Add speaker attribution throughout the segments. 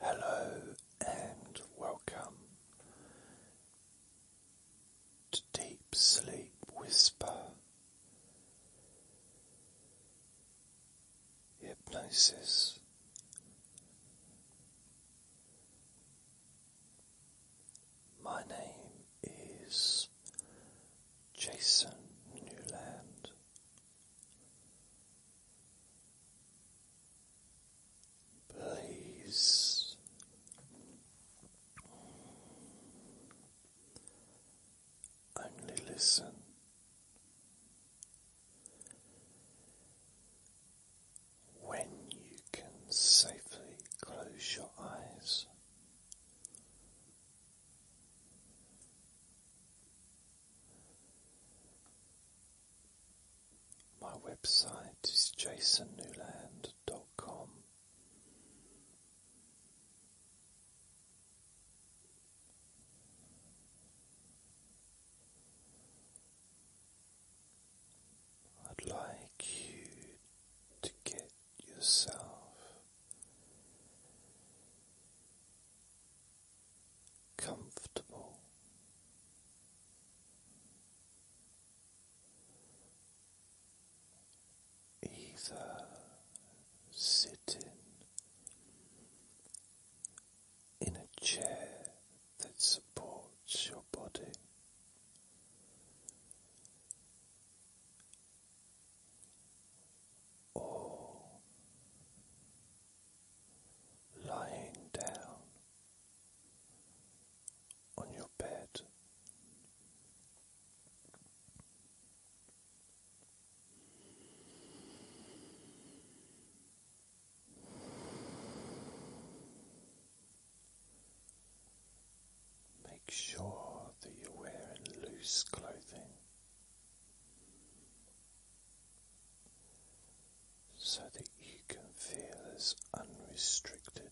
Speaker 1: Hello and welcome to Deep Sleep Whisper Hypnosis. My name is Jason Newland. Please only listen. When you can safely close your eyes, my website is jasonnewland.com. I'd like you to get yourself comfortable. Either sitting in a chair that supports your body or lying down on your bed. Make sure that you're wearing loose clothing so that you can feel as unrestricted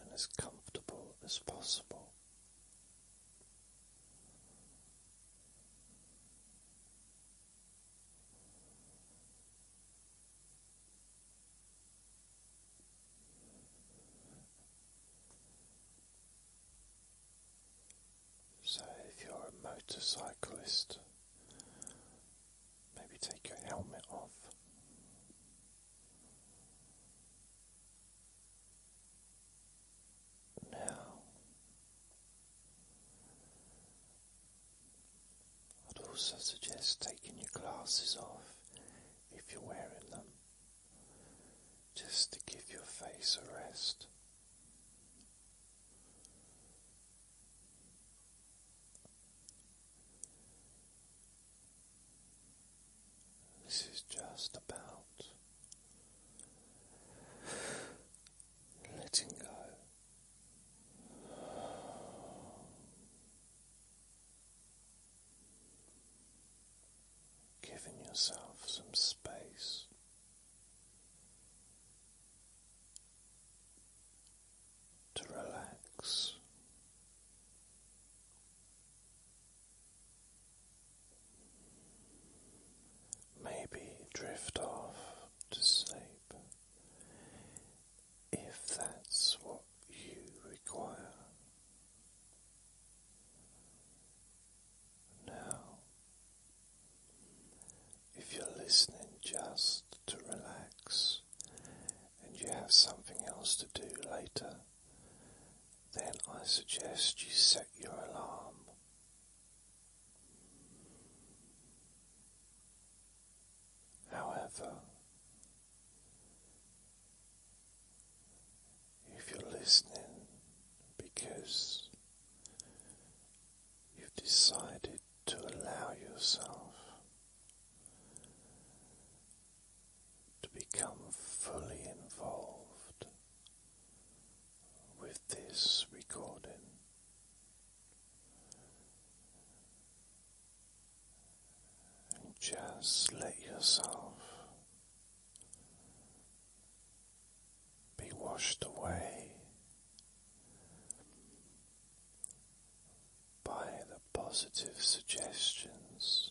Speaker 1: and as comfortable as possible. So, if you're a motorcyclist, maybe take your helmet off. Now, I'd also suggest taking your glasses off if you're wearing them just to give your face a rest. This is just about letting go giving yourself some space. To relax, maybe drift off to sleep if that's what you require now. If you're listening just to relax and you have something else to do later, then I suggest you set your alarm. However, if you're listening because you've decided to allow yourself to become fully involved with this recording. just let yourself be washed away by the positive suggestions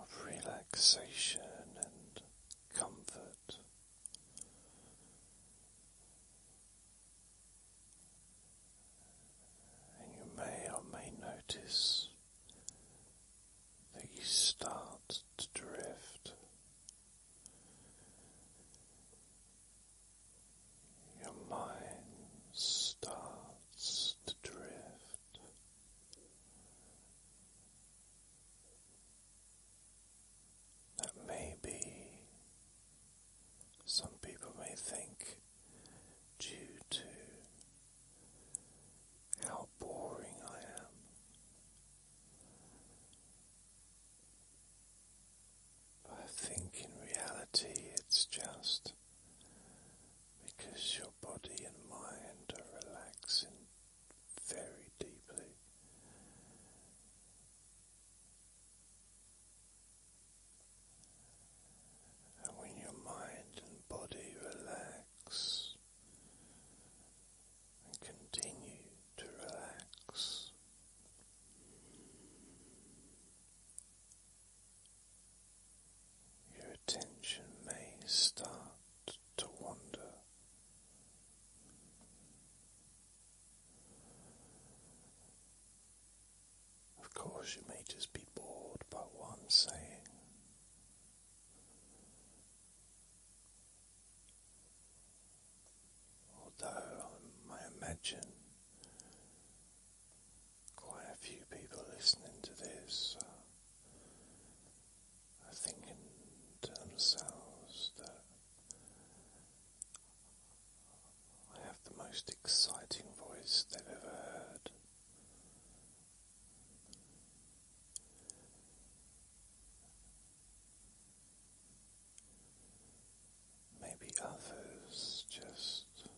Speaker 1: of relaxation and comfort. And you may or may notice that you start to drift. Your mind starts to drift. That may some people may think, due to how boring I am. I think in reality it's just because your body and mind are relaxing very deeply. And when your mind and body relax, and continue to relax. Your attention may start to wander. Of course, you may just be bored by what saying, Although I imagine quite a few people listening to this uh, are thinking to themselves that I have the most exciting voice they've ever heard. Maybe others just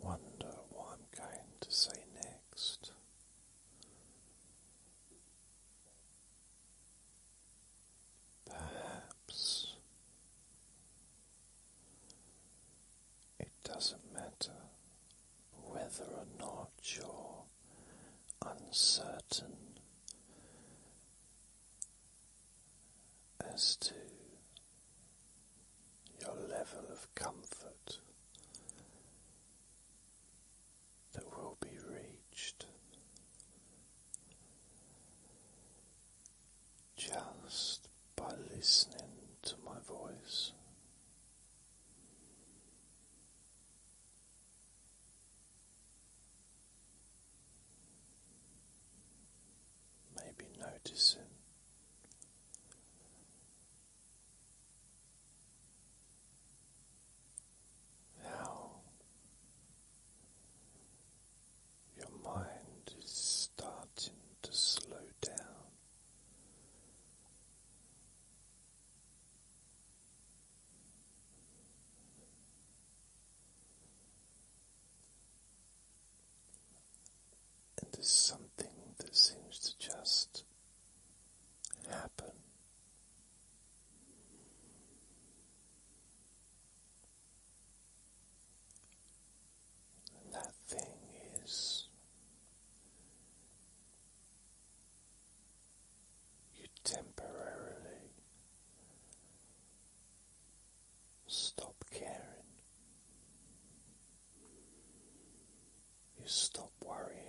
Speaker 1: wonder what I'm going to say next. Perhaps it doesn't matter whether or not you're uncertain as to your level of comfort that will be reached just by listening to my voice. Maybe noticing how your mind is starting to slow down. And there's something that seems to just happen that thing is you temporarily stop caring, you stop worrying.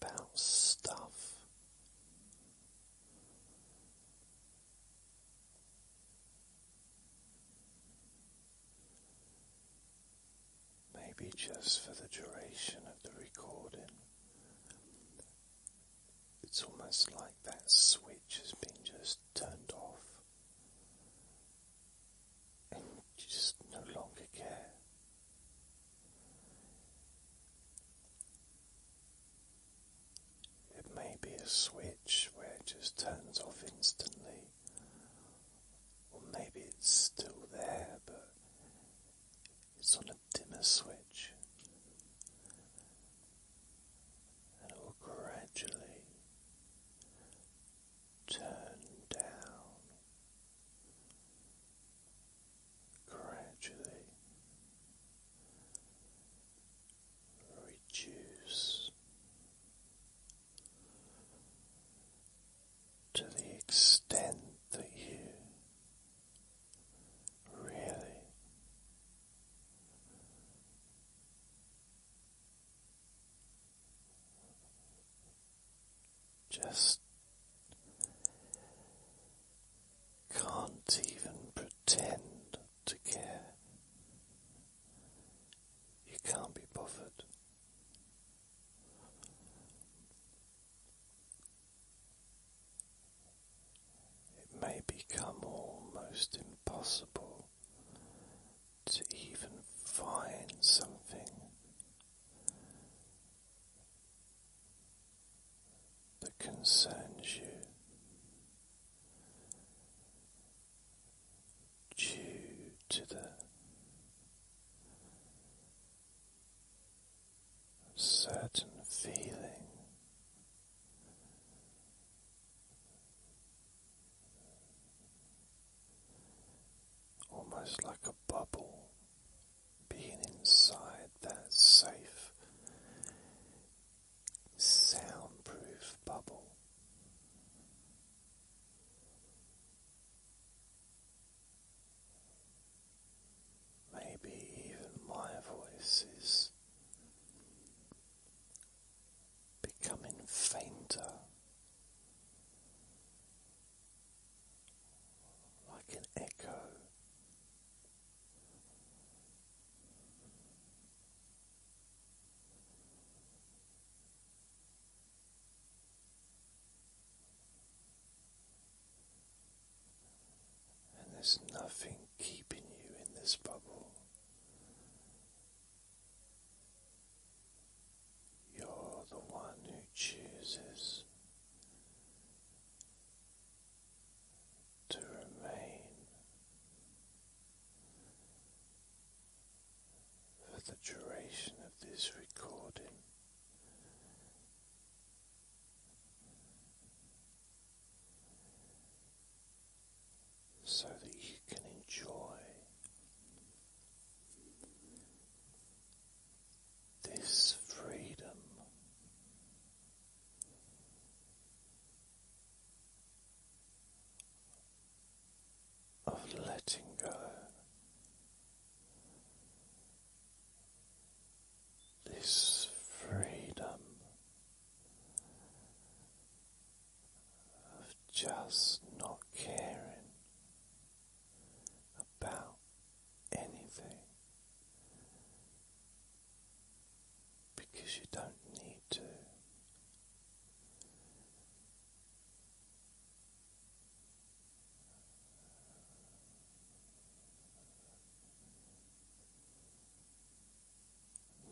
Speaker 1: About stuff Maybe just for the duration of the recording, it's almost like that switch has been just turned off, and you just no longer care. It may be a switch where it just turns off instantly, or maybe it's still there but it's on a dimmer switch, and it will gradually turn down gradually reduce to the extent that you really just can't even pretend to care. You can't be bothered. It may become almost impossible to even find something that concerns you. Due to the certain feeling almost like a bubble being inside that safe soundproof bubble. Maybe even my voice is becoming fainter, like an echo and there's nothing keeping you in this bubble. You're the one who chooses to remain for the duration of this recording. So that you can enjoy this freedom of letting go. This freedom of just not caring about anything because you don't need to.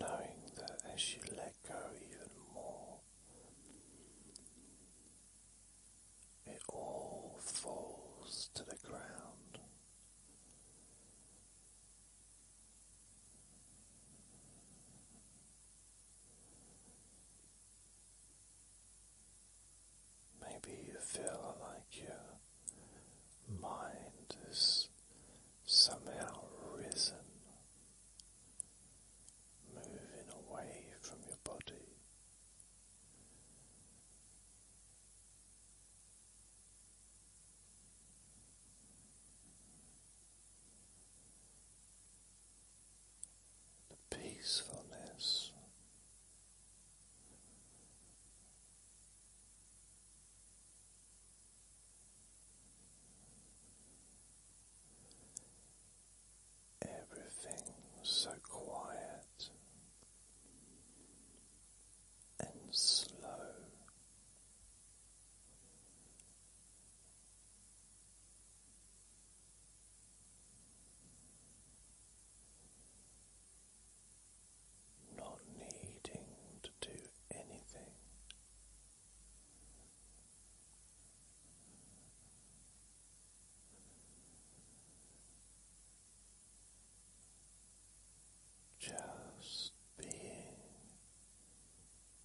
Speaker 1: Knowing that as you let go even more, it all falls to the ground Maybe you feel like your mind is somehow risen, moving away from your body peacefulness. Everything so quiet, and slow. Not needing to do anything, just being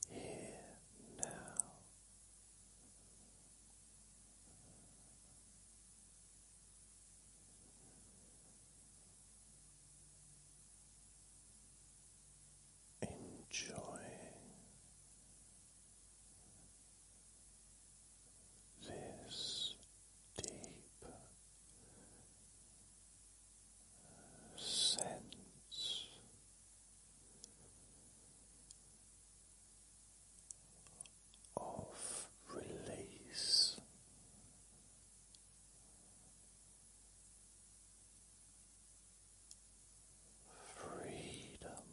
Speaker 1: here now. Enjoying this deep sense of release. Freedom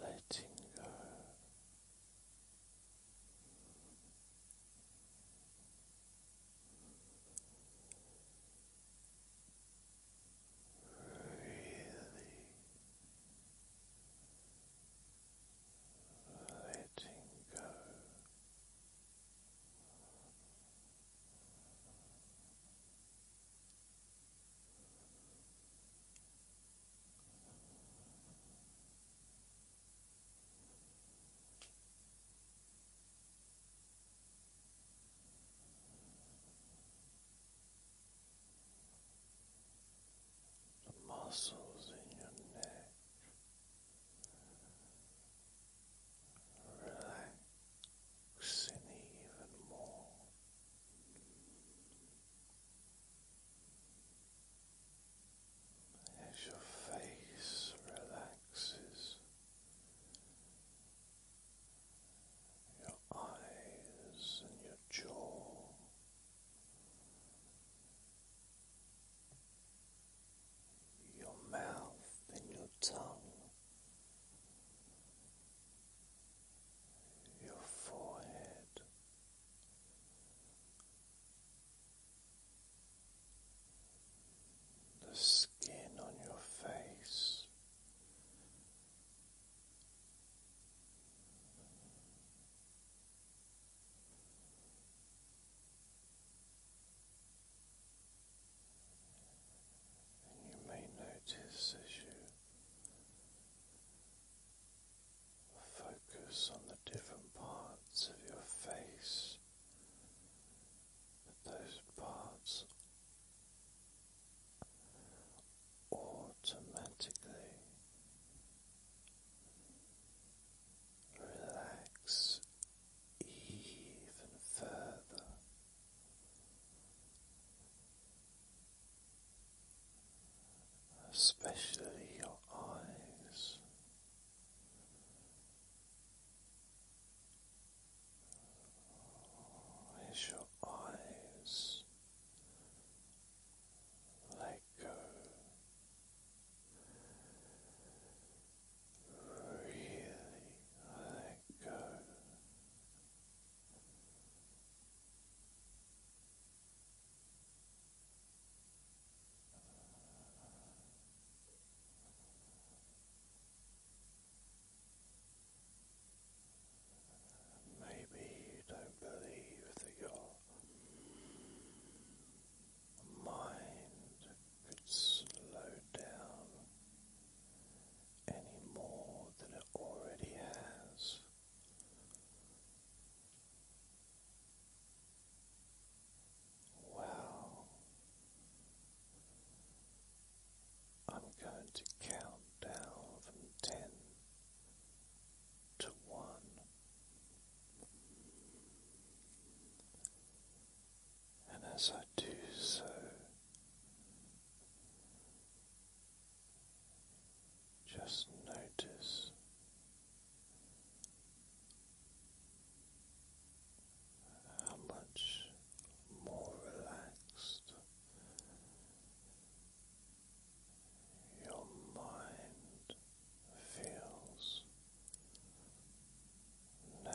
Speaker 1: Letting go. Really letting go the muscles in your neck relaxing even more. As your face relaxes, your eyes and your jaw your mouth and your tongue, your forehead, the skin on your face. And you may notice as you focus on the different parts of your face that those parts automatically relax even further. Especially your eyes, as your eyes let go really let go. Maybe you don't believe that your mind could slow down any more than it already has. Wow. I'm going to count down from ten to one. And as I do so, just notice how much more relaxed your mind feels now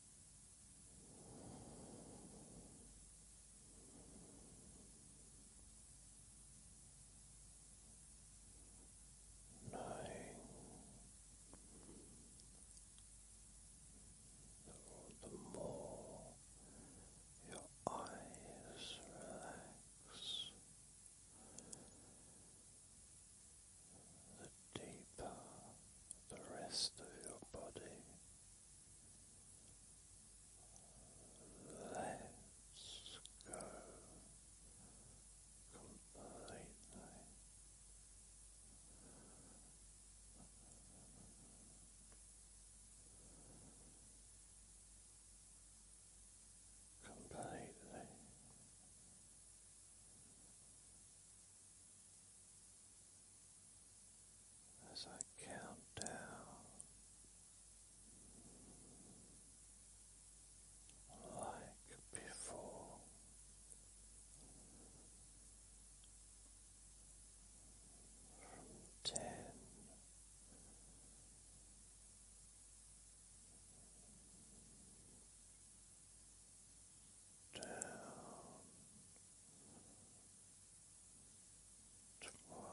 Speaker 1: knowing that the more your eyes relax, the deeper the rest of your body Let's go completely. Completely as I count down. Like before, from ten down one.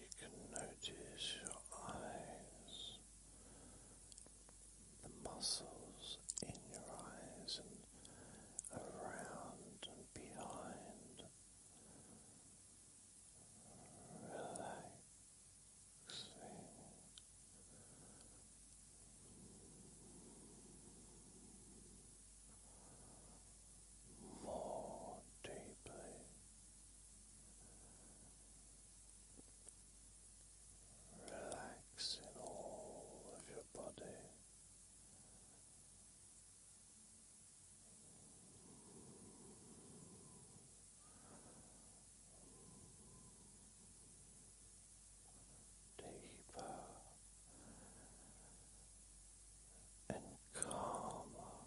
Speaker 1: You can notice your eyes, the muscles in your eyes and around and behind. Relax more deeply. Relaxing all of your body deeper and calmer. Now